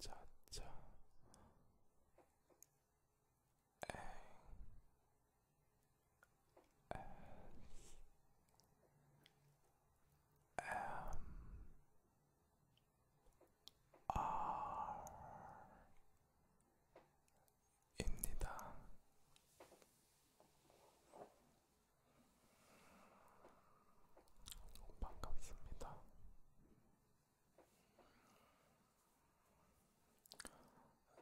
안녕하세요. 자자. 입니다. 반갑습니다.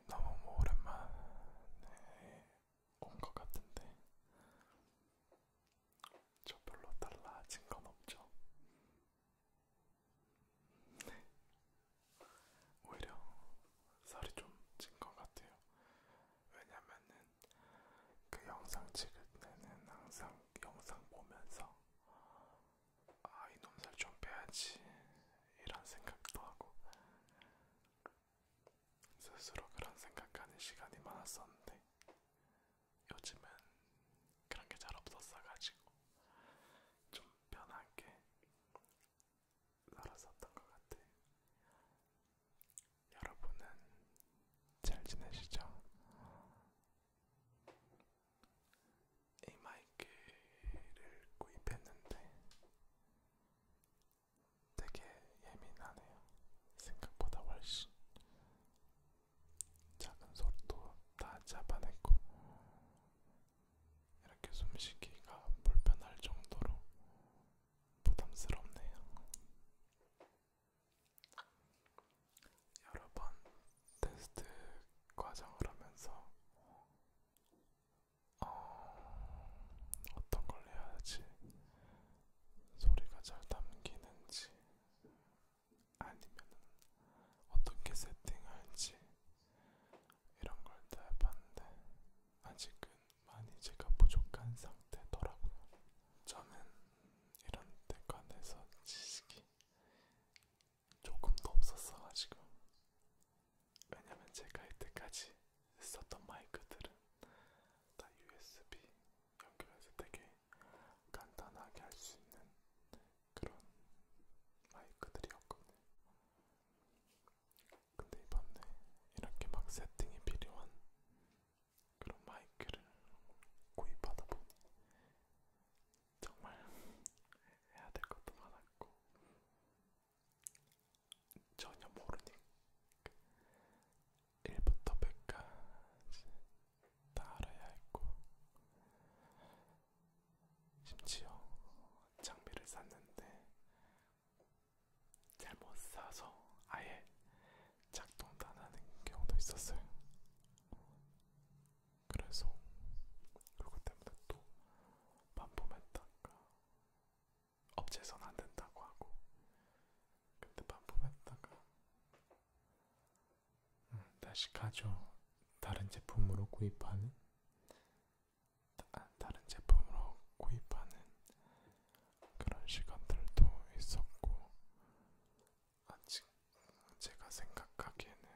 너무 오랜만에 온 것 같은데 저 별로 달라진 건 없죠? 네. 오히려 살이 좀 찐 것 같아요. 왜냐면은 그 영상 찍을 때는 항상 영상 보면서 아 이놈 살좀 빼야지 이런 생각도 하고 스스로 그런 생각하는 시간이 많았었는데 요즘은 그런 게 잘 없었어가지고 좀 편하게 살았었던 것 같아. 여러분은 잘 지내시죠? 이 마이크를 구입했는데 되게 예민하네요. 생각보다 훨씬 작은 소리도 다 잡아냈고 이렇게 숨쉬기가 불편할 정도로 부담스럽네요. 여러 번 테스트 과정을 하면서 어, 어떤 걸 해야지 소리가 잘 담기는지 아니면 어떻게 세팅할지 이런 걸 다 해봤는데 아직은 많이 제가 부족한 상태더라고요. 저는 이런 데 관해서 지식이 조금도 없었어가지고 왜냐면 제가 이때까지 썼던 마이크들은 다 USB 연결해서 되게 간단하게 할 수 있는 그런 마이크들이었거든요. 근데 이번에 이렇게 막 세팅이 필요한 그런 마이크를 구입하다 보니 정말 해야 될 것도 많았고 전혀 모르니 1부터 100까지 다 알아야 했고 심지어 장비를 샀는데 잘못 사서 아예 작동도 안 하는 경우도 있었어요. 그래서 그것 때문에 또 반품했다가 업체에서는 안 된다고 하고 그때 반품했다가 음, 다시 가져 다른 제품으로 구입하는 다, 다른 제품으로 구입하는 그런 시간들도 있었고 아직 제가 생각하기에는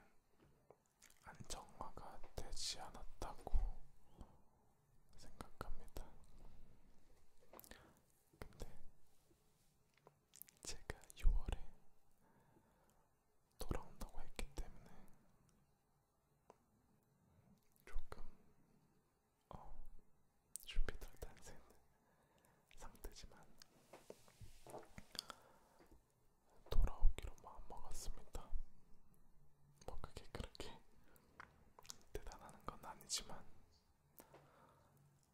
안정화가 되지 않았다고 생각합니다. 근데 제가 6월에 돌아온다고 했기 때문에 조금 어, 준비 덜된 상태지만 돌아오기로 마음먹었습니다. 뭐 그게 그렇게 대단한 건 아니지만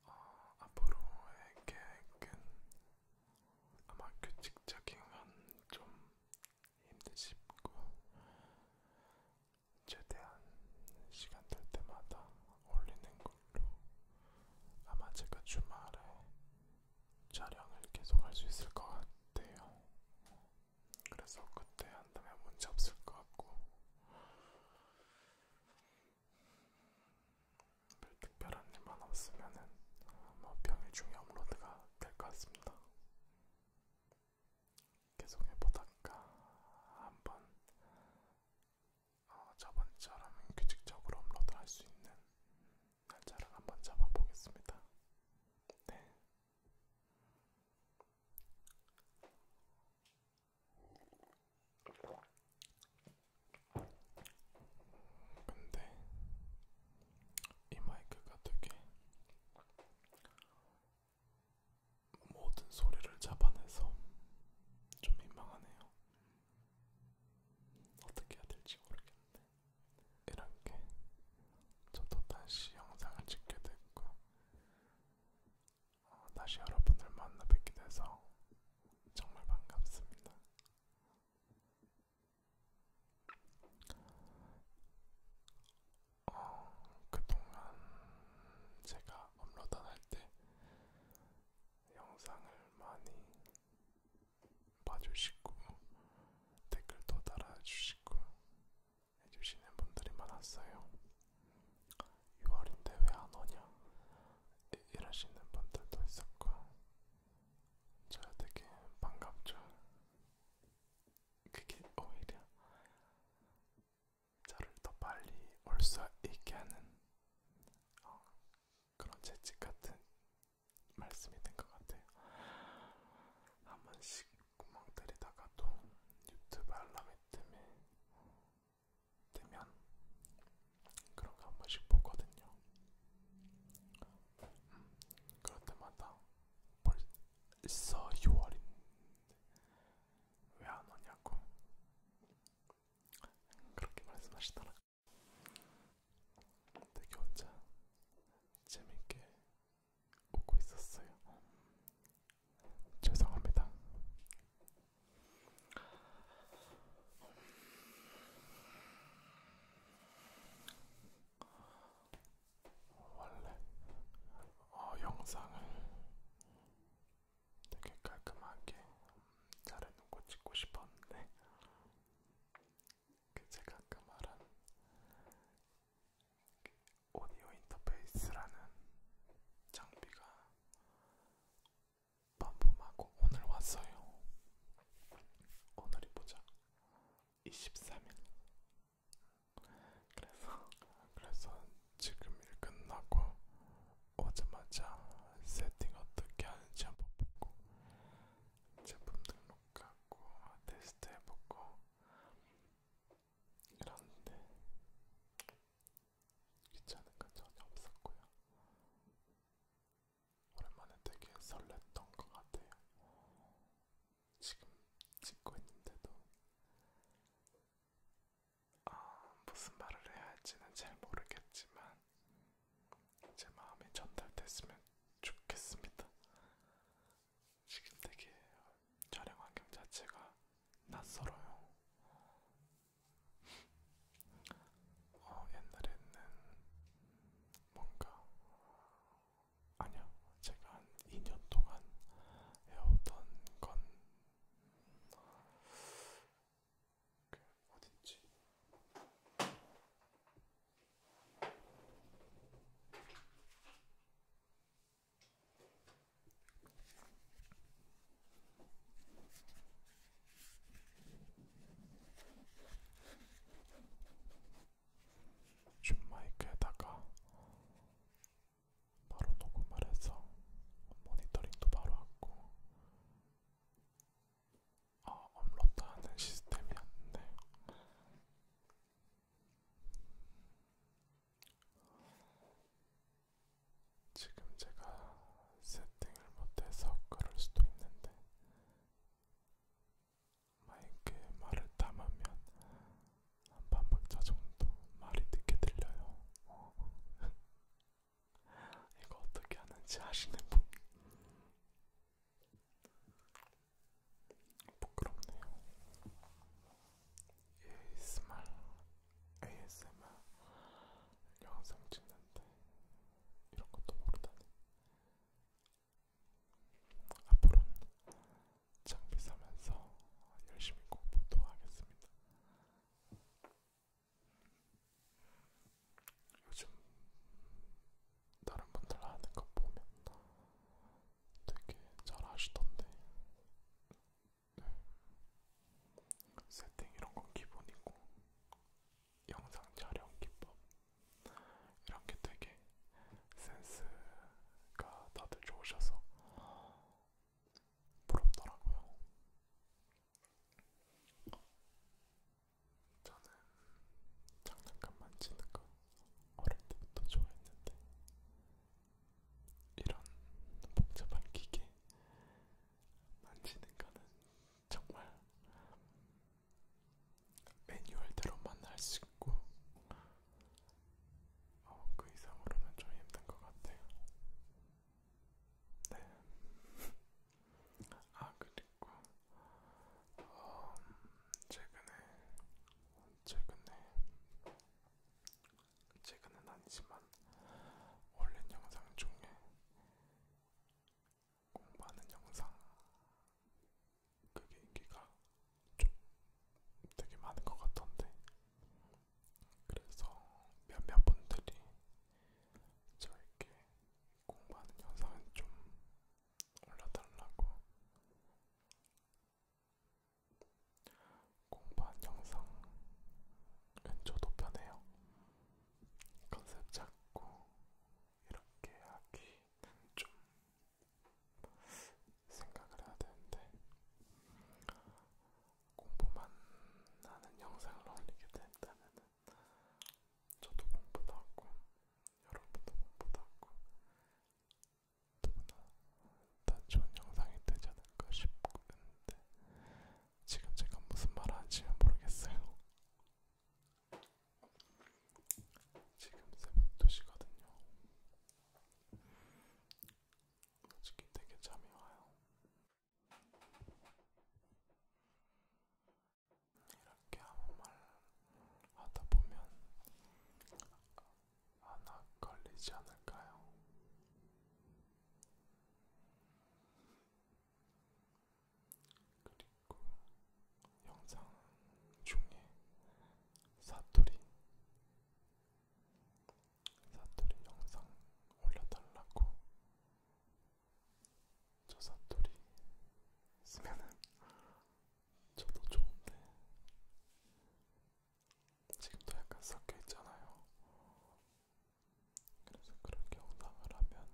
어, 앞으로의 계획은 아마 규칙적인 건좀 힘드시고 최대한 시간 될 때마다 올리는 걸로 아마 제가 주말에 촬영을 계속 할 수 있을 것 같아요. 그래서 그때 한다면 문제 없을 것 같고 별 특별한 일만 없으면은 뭐 평일 중에 업로드가 될 것 같습니다. 계속 해보다가 한번 어, 저번처럼 규칙적으로 업로드 할수 있는 날짜를 한번 잡아보겠습니다. 네. 근데 이 마이크가 되게 모든 소리를 잡아내서 좀 민망하네요. 어떻게 해야 될지 모르겠네. 이렇게 저도 다시 영상을 찍게 됐고 어, 다시 여러분을 만나 뵙게 돼서 정말 반갑습니다. 어, 그동안 제가 업로드할 때 영상을 많이 봐주시고 댓글도 달아주시고 해주시는 분들이 많았어요. 6월인데 왜 안 오냐 이러시는 분들도 있었고, 저 되게 반갑죠. 그게 오히려 저를 더 빨리 올 수 있게 하는 어, 그런 재치 같은 말씀이 된 것 같아요. 한 번씩 구멍 들이다가도 유튜브 알람이 뜨면, 뜨면 그런 거 한 번씩 보거든요. 그럴 때마다 벌써 6월인데 왜 안 오냐고 그렇게 말씀하시더라고. 되게 혼자 재밌게 웃고 있었어요. 죄송합니다. 원래 어, 영상을 되게 깔끔하게 잘해놓고 찍고 싶었는데 그 제가 아까 말한 그 오디오 인터페이스라는 장비가 반품하고 오늘 왔어요. 오늘이 보자. 23일. 그래서 그래서 지금 일 끝나고 오자마자 세팅 어떻게 하는지 한번 보고 제품 등록하고 테스트 해보고 이러는데 귀찮은 건 전혀 없었고요. 오랜만에 되게 설렜던 것 같아요. 지금 찍고 있는데도 아, 무슨 말을 해야 할지는 잘 모르겠지만 제 마음이 전달됐으면 좋겠습니다. 지금 되게 촬영 환경 자체가 낯설어요. 어, 옛날에는 뭔가 아니야 제가 한 2년 동안 해오던 건 그, 어딨지? 줌 마이크에다가 바로 녹음을 해서 모니터링도 바로 하고 아, 업로드하는 시스템이었는데 지금 제가 세팅을 못해서 그럴 수도 있는데 마이크에 말을 담으면 한 반박자 정도 말이 늦게 들려요. 이거 어떻게 하는지 아시는 분? 부끄럽네요. ASMR, ASMR 영상 찍는데 이런 것도 모르다니. 앞으로는 장비 사면서 열심히 공부도 하겠습니다. 요즘 다른 분들 하는 거 보면 되게 잘 하시던데 네. 세팅 이런 건 기본이고 영상 촬영 기법 이런 게 되게 센스가 다들 좋으셔서 부럽더라고요. 저는 장난감 만지는 거 어릴 때부터 좋아했는데 이런 복잡한 기계 만지는 거는 정말 매뉴얼대로만 할 수 있고 어, 그 이상으로는 좀 힘든 것 같아요. 네. 아 그리고 어, 최근에 최근에 최근은 아니지만 올린 영상 중에 공부하는 영상 그게 인기가 좀 되게 많은 것 같던데 그래서 몇몇 분들이 저에게 공부하는 영상은 좀 올려달라고 공부한 영상은 저도 편해요. 컨셉 잡고 이렇게 하기는 좀 생각을 해야 되는데 공부만 하는 영상을 올리게 된다면 저도 공부도 하고 여러분도 공부도 하고 누구나 다 좋은 영상이 되지 않을까 싶은데 지금 제가 무슨 말을 하는지는 모르겠어요. 지금 새벽 2시거든요. 솔직히 되게 잠이 와요. 이렇게 아무 말 하다 보면 하나 걸리지 않을까요? 그리고 영상 중에 사투리 사투리 영상 올려달라고 저 사투리 쓰면은 저도 좋은데 지금도 약간 섞여 있잖아요. 그래서 그렇게 영상을 하면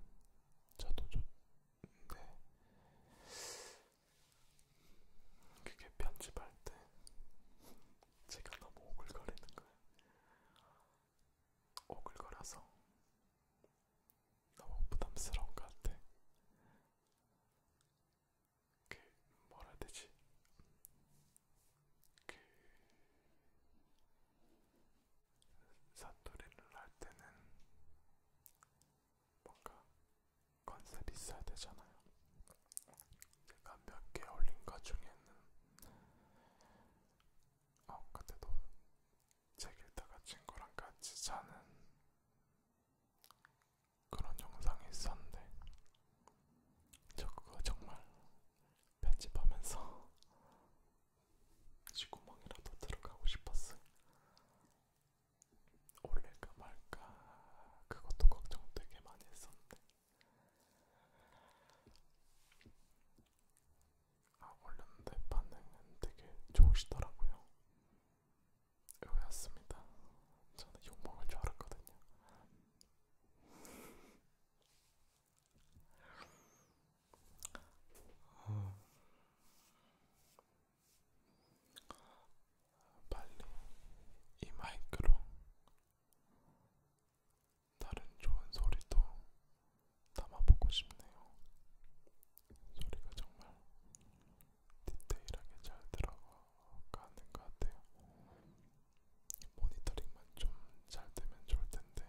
저도 좋은데 네. 그게 편집할 때 제가 너무 오글거리는 거예요. 오글거려서 너무 부담스러운 것 같아. 그 뭐라 해야 되지? 그 사투리를 할 때는 뭔가 컨셉이 있어야 되잖아요. 제가 몇 개 올린 것 중에는 어 그때도 책 읽다가 친구랑 같이 자는 그런 영상이 있었는데 저 그거 정말 편집하면서 지구멍이라도 들어가고 싶었어. 올릴까 말까 그것도 걱정 되게 많이 했었는데 아 올렸는데 반응은 되게 좋으시더라고요. 의외였습니다. 저는 욕먹을 줄 알았거든요. 어. 빨리 이 마이크로 다른 좋은 소리도 담아보고 싶네요. 소리가 정말 디테일하게 잘 들어가는 것 같아요. 모니터링만 좀 잘 되면 좋을 텐데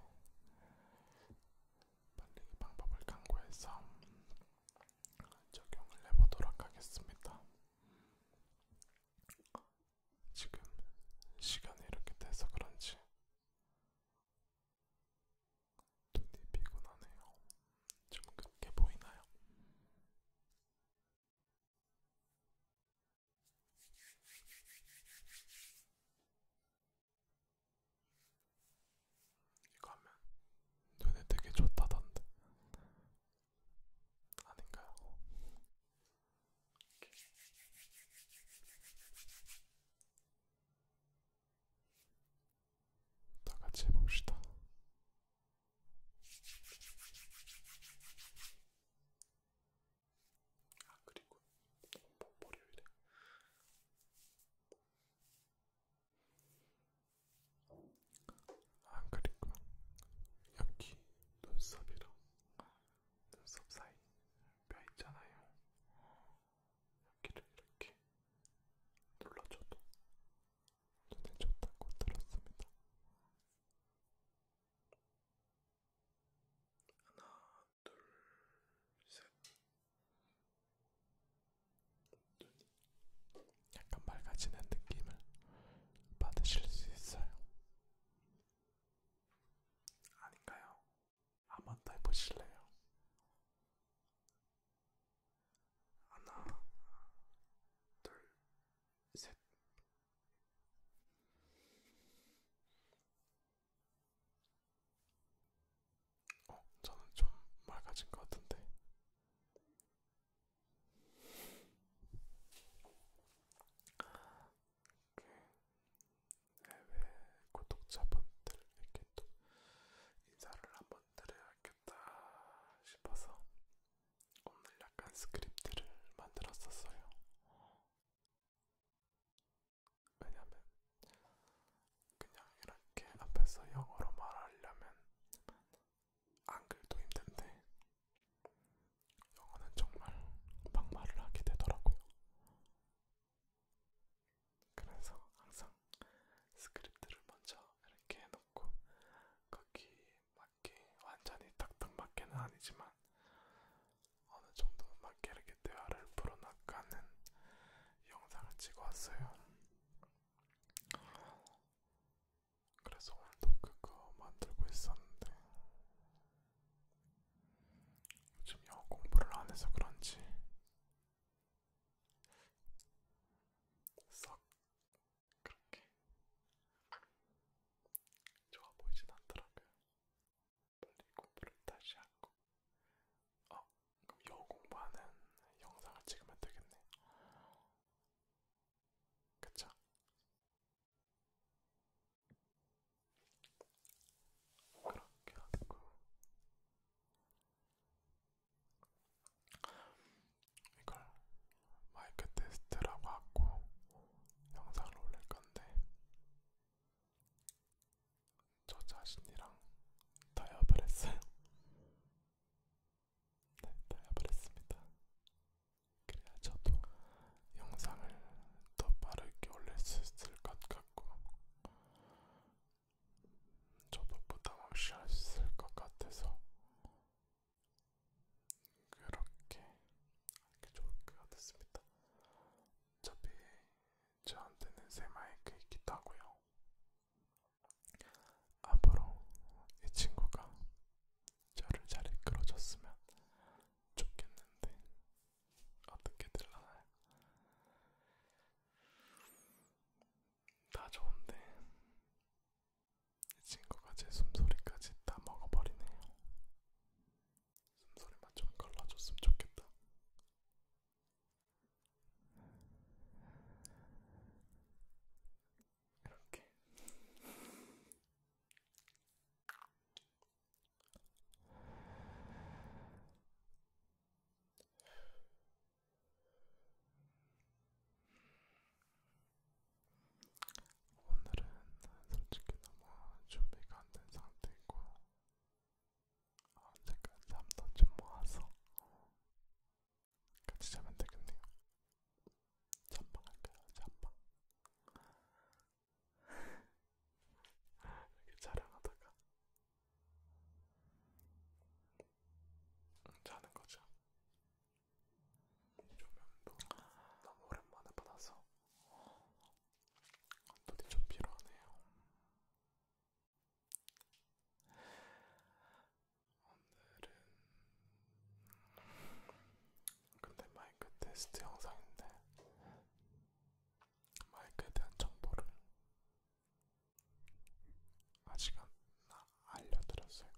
빨리 방법을 강구해서 적용을 해보도록 하겠습니다. 지금 시간이 이렇게 돼서 그런지 눈이 피곤하네요. 좀 긁게 보이나요? 이거 하면 눈에 되게 좋다던데 아닌가요? 오케이. 다 같이 해봅시다. 아 그리고 뭐, 월요일에 아 그리고 여기 눈썹이랑 눈썹 사이 뼈 있잖아요. 여기를 이렇게 눌러줘도 눈에 좋다고 들었습니다. 하나, 둘, 셋. 약간 맑아지는 느낌을 받으실 수 있어요. 아닌가요? 한번 더 해보실래요? 하나, 둘, 셋. 어, 저는 좀 맑아진 것 같은데. 그 해외 구독자분들에게 또 인사를 한번 드려야겠다 싶어서 오늘 약간 스크립트를 만들었었어요. 왜냐면 그냥 이렇게 앞에서 영어로 말하려면 한글도 힘든데 영어는 정말 막말을 하게 되더라고요. 그래서 항상 스크립트를 먼저 이렇게 해놓고 거기 맞게 완전히 딱딱 맞게는 아니지만 어느 정도 맞게 이렇게 대화를 풀어나가는 영상을 찍어왔어요. 그래서 오늘도 그거 만들고 있었는데 요즘 영어 공부를 안 해서 그런지 썩 그렇게 좋아 보이진 않더라고요. 빨리 공부를 다시 하고. 어, 그럼 영어 공부하는 영상을 찍으면 되겠네. 그쵸? 그렇게 하고. 이걸 마이크 테스트라고 하고 영상을 올릴 건데 저 자신이랑 타협을 했어요. 네, 타협을 했습니다. 그래야 저도 영상을 더 빠르게 올릴 수 있을 것 같고 저도 부담 없이 할 수 있을 것 같아서 그렇게 하는 게 좋을 것 같았습니다. 어차피 저한테는 새 마이크 있기도 하고요. 앞으로 이 친구가 저를 잘 이끌어줬으면 좋겠는데 어떻게 될라나요? 다 좋은데 이 친구가 제 숨소리까지 다 먹어버리네요. 숨소리만 좀 걸러줬으면 좋겠다. 이렇게. 오늘은 솔직히 너무 준비가 안 된 상태이고 언제까 잠도 좀 모아서 같이 자면 되겠네요. 잠방 할까요? 잠방. 이렇게 자랑하다가 자는 거죠. 조명도 너무 오랜만에 받아서 눈이 좀 피로하네요. 오늘은 근데 마이크 테스트 영상인데 마이크에 대한 정보를 아직 안 알려드렸어요.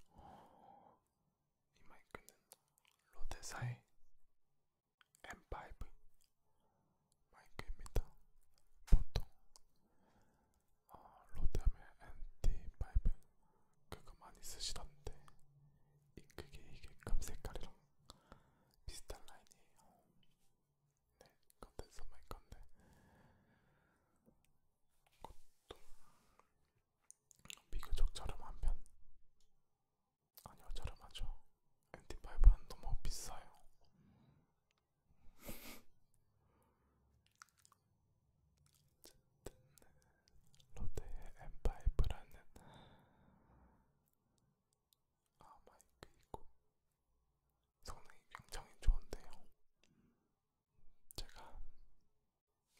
이 마이크는 로데사의 M5 마이크입니다. 보통 어, 로데의 MT5 그거 많이 쓰시던데 이 그게 이게 금 색깔이랑 비슷한 라인이에요. 네, 컨텐츠 마이크인데 그것도 비교적 저렴한 편. 아니요, 저렴하죠. NT5는 너무 뭐 비싸요. 어쨌든 롯데의 M5라는 아 마이크 있고 성능이 굉장히 좋은데요. 제가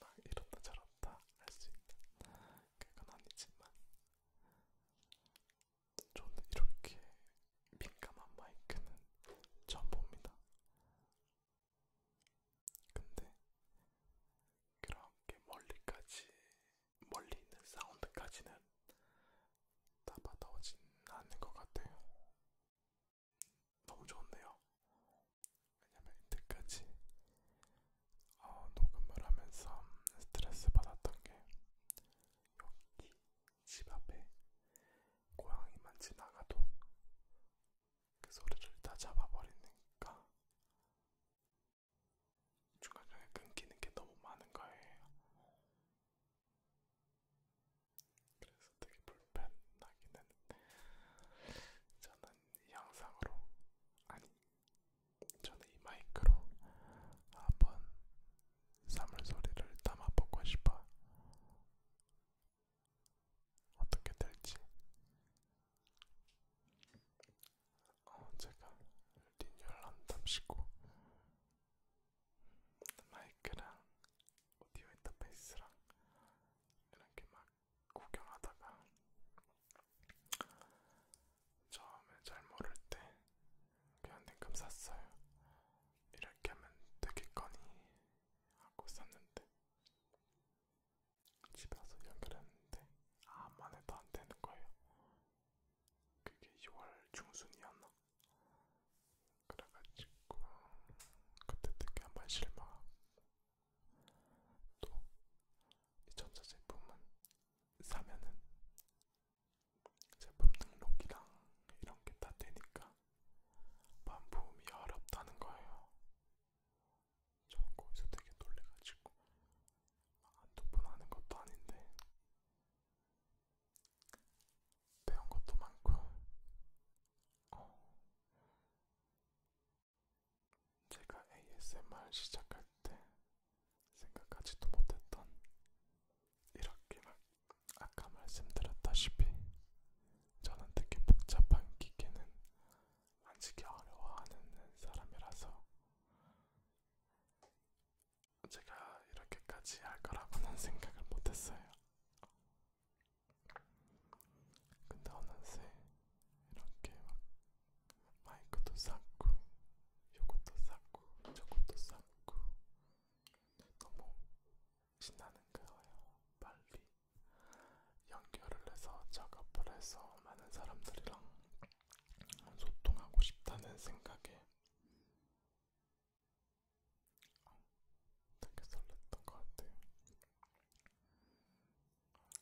막 이렇다 저렇다 할 수 있는 그건 아니지만 저는 이렇게 민감한 마이크는 처음 봅니다. 근데 그렇게 멀리까지 멀리 있는 사운드까지는 다 받아오진 않는 것 같아요. 너무 좋네요. 왜냐면 이때까지 어, 녹음을 하면서 스트레스 받았던 게 여기 집 앞에 고양이만 지나가도 그 소리를 다 잡아버리니까 중간중간에 끊기는 게 너무 많은 거예요. 그래서 되게 불편하긴 했는데 저는 이 영상으로 아니 저는 이 마이크로 한번 사물소리를 담아보고 싶어 어떻게 될지 어, 제가 리뉴얼 한답시고 마이크랑 오디오 인터페이스랑 이렇게 막 구경하다가 처음에 잘 모를 때 그냥 냉큼 샀어요. 이렇게 하면 되겠거니 하고 샀는데 집에 와서 연결했는데 아만 해도 안 되는 거예요. 그게 6월 중순이었나? 그래가지고 그때 되게 한 번 실망하고 또이 전자제품은 사면은 제품 등록이랑 이런 게 다 되니까 반품이 어렵다는 거예요. 저 거기서 되게 놀래가지고 한두 아, 번 하는 것도 아닌데 배운 것도 많고 어. 제가 ASMR 시작할 때 생각하지도 못했던 이렇게 막 아까 말씀드렸다시피 저는 되게 복잡한 기계는 만지기 어려워하는 사람이라서 제가 이렇게까지 할 거라고는 생각을 못했어요. 근데 어느새 이렇게 막 마이크도 쌓고 요것도 쌓고 저것도 쌓고 너무 신나는 거예요. 빨리 연결을 해서 작업을 해서 많은 사람들이랑 소통하고 싶다는 생각에 아, 되게 설렜던 것 같아요.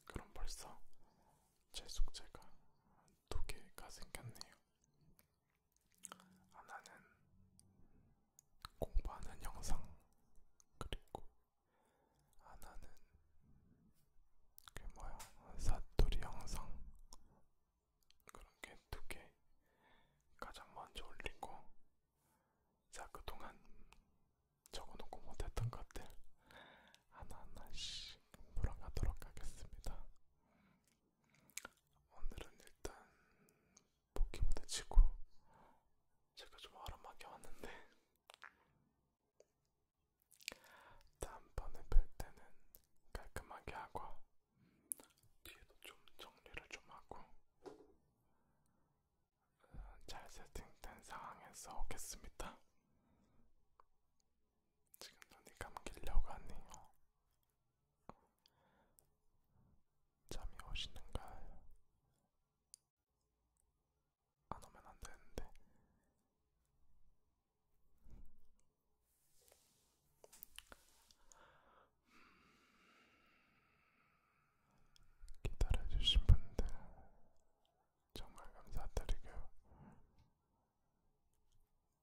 그럼 벌써 제 숙제가 두 개가 생겼네요. 하나는 공부하는 영상, 그리고 하나는 그 뭐야 사투리 영상 그런 게 두 개 가장 먼저 올리고 자, 그동안 적어놓고 못했던 것들 하나하나씩 물어가도록 하겠습니다. 오늘은 일단 포켓몬을 치고 제가 좀 아름하게 왔는데 다음번에 뵐 때는 깔끔하게 하고 뒤에도 좀 정리를 좀 하고 잘 세팅된 상황에서 오겠습니다. 지금 눈이 감기려고 하네요. 잠이 오시는가요? 안 오면 안 되는데. 기다려주신 분들 정말 감사드리고요.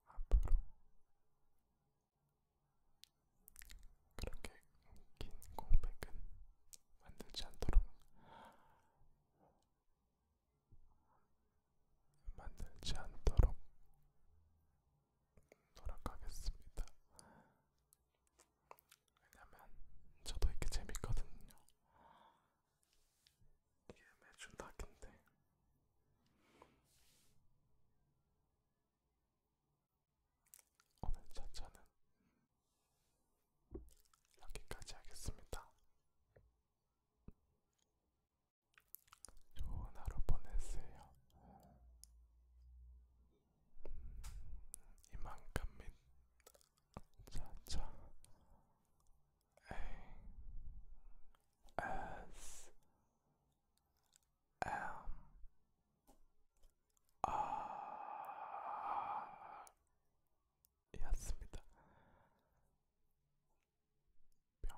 앞으로 그렇게 긴 공백은 만들지 않도록 만들지 않도록 돌아가겠습니다. 왜냐면 저도 이게 재밌거든요. 이게 매주 낙인데. 오늘 차차는 여기까지 하겠습니다. 좋은 하루 보내세요. 이만큼 및 차차 S M R 였습니다. 뿅.